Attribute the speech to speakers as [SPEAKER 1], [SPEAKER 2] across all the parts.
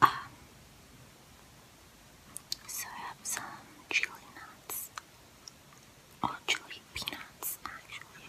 [SPEAKER 1] Um, so I have some chili nuts, or oh, chili peanuts actually.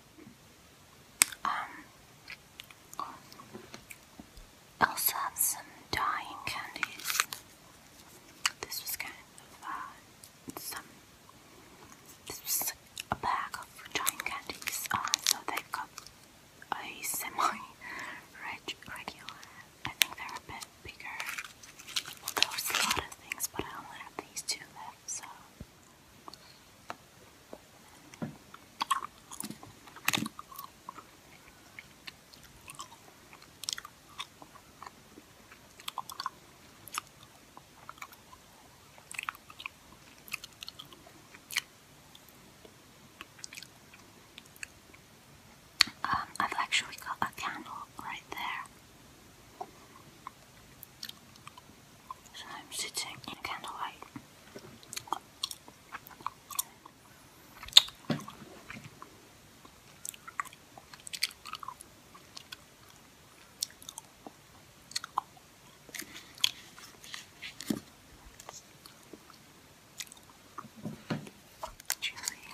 [SPEAKER 1] Um, I also have some dying candies. This was kind of uh, some. This was a bag of dying candies. Uh, so they got a semi regular. I think they're a bit bigger. there was a lot of things, but I only have these two left, so. Um, I've actually got a candle right there. So I'm sitting in candlelight. Julie.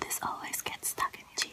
[SPEAKER 1] This always gets stuck in your teeth.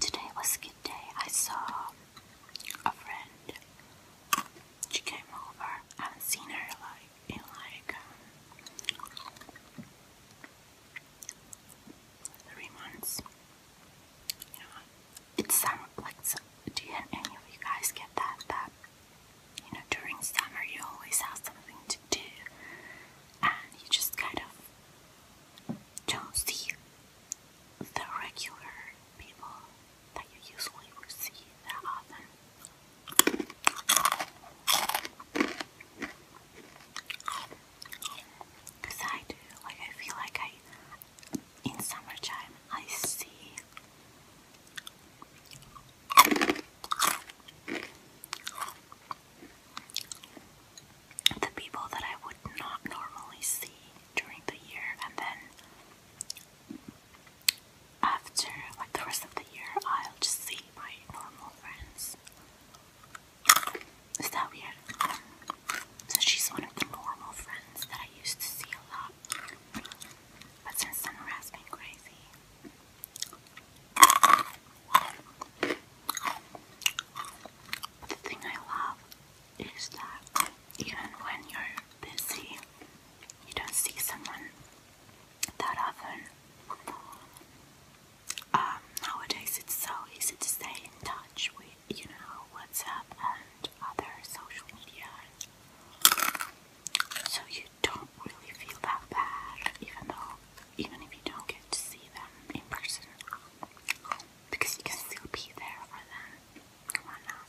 [SPEAKER 1] Today was skip day. I saw a friend. She came over. haven't seen her like in like um, three months. You know, it's summer. Like, do any of you guys get that? That you know, during summer you always have something to do and you just kind of don't see the regular people that you usually would see that often. Because I do, like, I feel like I, in summertime, I see the people that I would not normally see during the year, and then after, like the rest of the year, I'll just see my normal friends. Is that weird? So she's one of the normal friends that I used to see a lot. But since summer has been crazy, the thing I love is that even when you're busy, you don't see someone that often. Um, nowadays, it's so easy to stay in touch with, you know, WhatsApp and other social media so you don't really feel that bad, even though, even if you don't get to see them in person, because you can still be there for them. Come on now.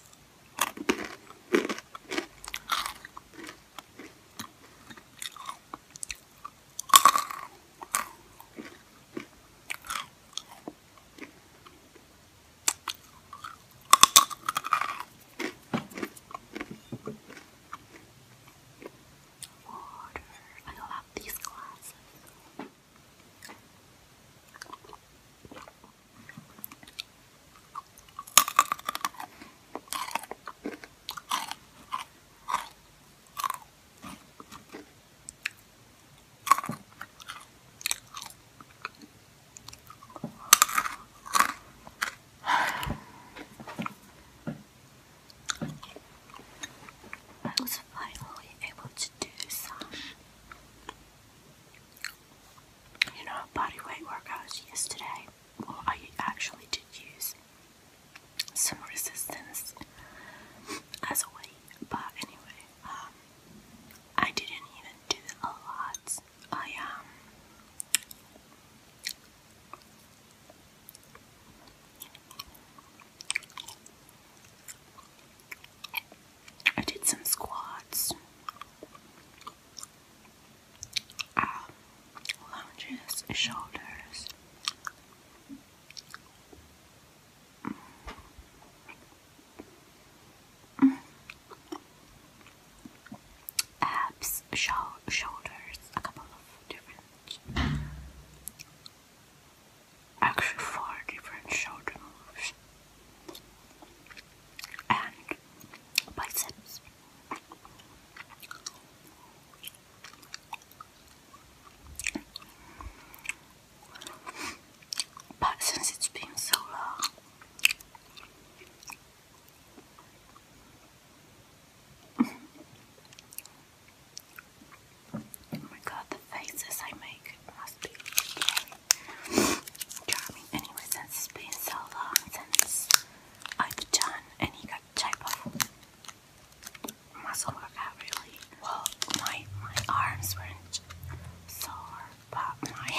[SPEAKER 1] Water. I love these glasses. I was finally able to do some, you know, body weight workouts yesterday. Well, I actually did use some resistance as a way, but anyway, um, I didn't even do a lot. I am um, I did some squats, um, lounges, shoulders. Mm. Mm abs, shoulders, a couple of different, actually four different shoulder moves, and biceps. But since it's been so long, Oh my god, the faces I make must be charming. Anyway, since it's been so long since I've done any type of muscle workout, really. Well, my, my arms weren't sore but my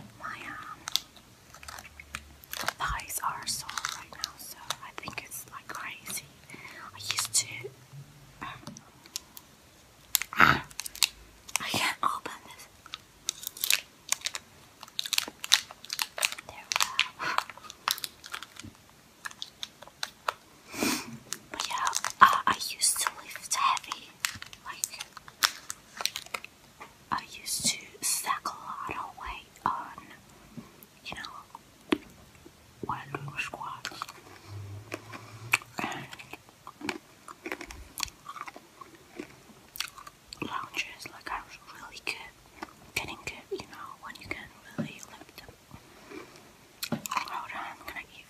[SPEAKER 1] my um thighs are sore right now, so I think it's like crazy. I used to. I can't open this. There we go. yeah, uh, I used to lift heavy, like I used to stack a lot of weight on, you know, while doing squats. And lounges, like I was really good, getting good, you know, when you can really lift them. Hold on, gonna eat.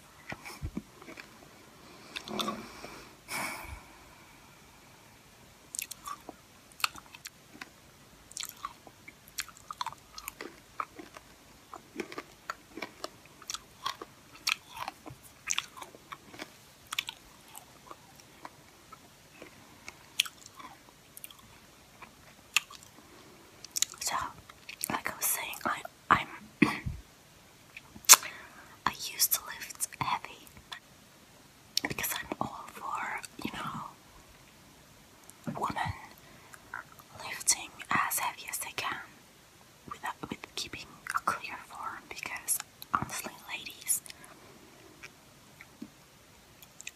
[SPEAKER 1] So, like I was saying, I I'm I used to lift heavy because I'm all for, you know, women lifting as heavy as they can without with keeping a clear form because honestly ladies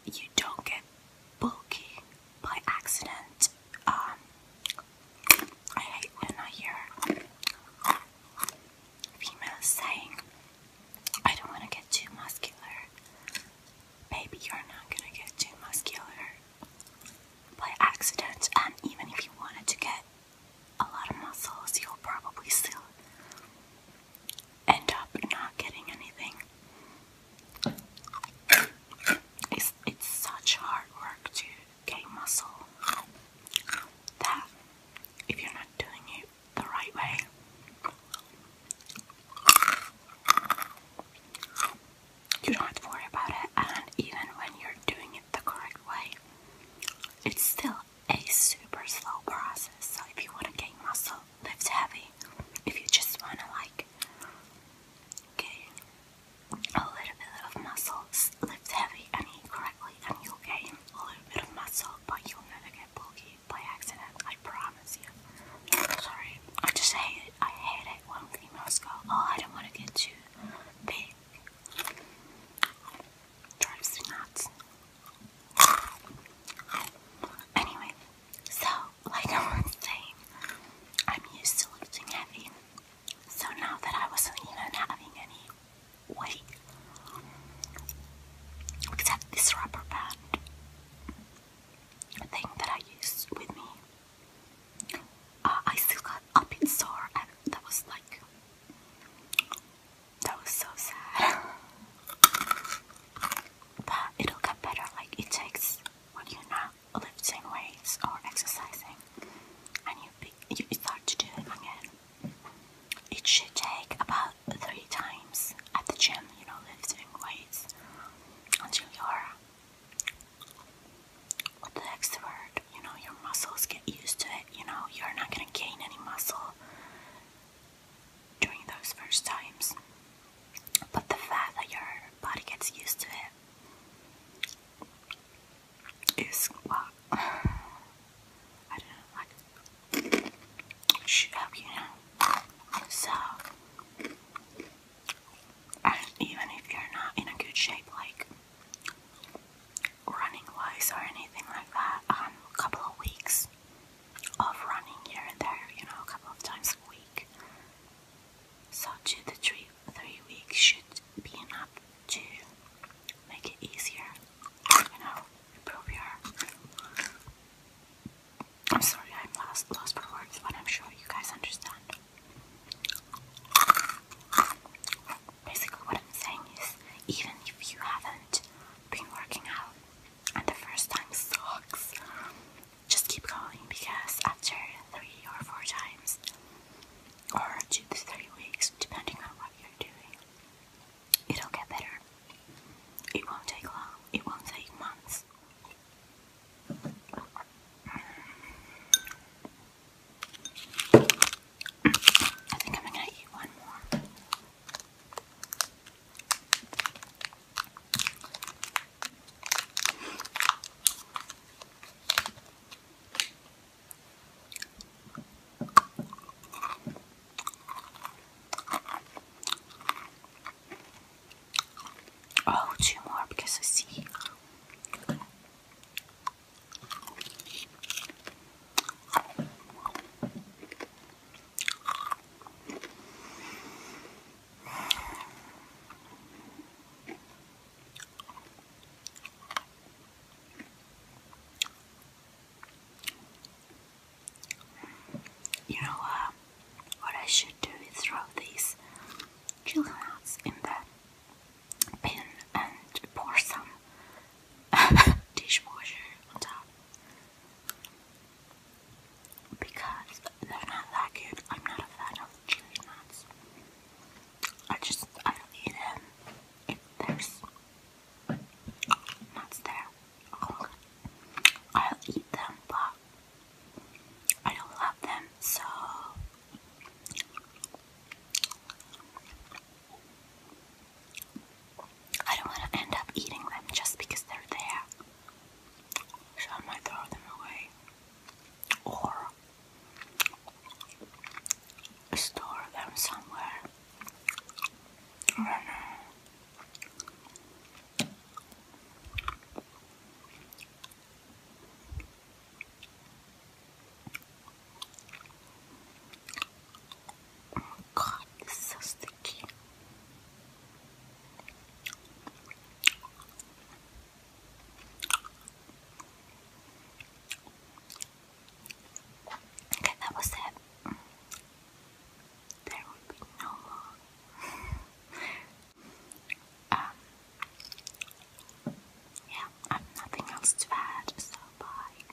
[SPEAKER 1] you don't get bulky by accident um, I hate when I hear females saying, I don't want to get too muscular. Baby, you're not going to get too muscular by accident, and even if you wanted to get a lot of muscles, you'll probably still end up not getting anything. It's, it's such hard work to gain muscle. That, if you're not doing it the right way, you don't have to worry about it. And even when you're doing it the correct way, it's still a super slow process. So if you want to gain muscle, lift heavy. If you just want to like gain a little bit of muscles lift heavy and eat correctly and you'll gain a little bit of muscle but you'll never get bulky by accident, I promise you. Sorry, I just hate it. I hate it when females go, oh, I don't want to get too big. Drives me nuts. Anyway, so like I was saying, I'm used to lifting heavy, so now that I wasn't even having any weight, except this rubber band thing that I used with me, uh, I still got a bit sore, and that was like, that was so sad. But it'll get better, like it takes when you're lifting weights or exercising and you, start to do it again. It should take about three times at the gym, you know, lifting weights until you're what the next word, you know, your muscles get used to it, you know, you're not gonna gain any muscle during those first times. But the fact that your body gets used to it is well, I don't know, like you know. So even if you're not in a good shape, like running wise or anything like that, um, a couple of weeks of running here and there, you know, a couple of times a week such a three, three weeks should be enough to make it easier, you know, improve your... I'm sorry, I'm lost, lost for words, but I'm sure you guys understand. Basically what I'm saying is, even if you haven't been working out, and the first time sucks. Just keep going because after three or four times, or two to three weeks, depending on what you're doing, it'll get better. It won't take long, it won't take months. I think I'm gonna eat one more. Oh, two more because I see. You know uh, what I should do is throw these chicken nuts in the bin and pour some dishwasher on top because they're not that good. I'm not a fan of chili nuts. I just I don't eat them if there's nuts there. Oh I'll eat them, but I don't love them. So I don't want to end up eating them just because they're there. So I throw them away or store them somewhere. Oh god, this is so sticky. Okay, that was it. There will be no more. Um, yeah, I have nothing else to add, so bye.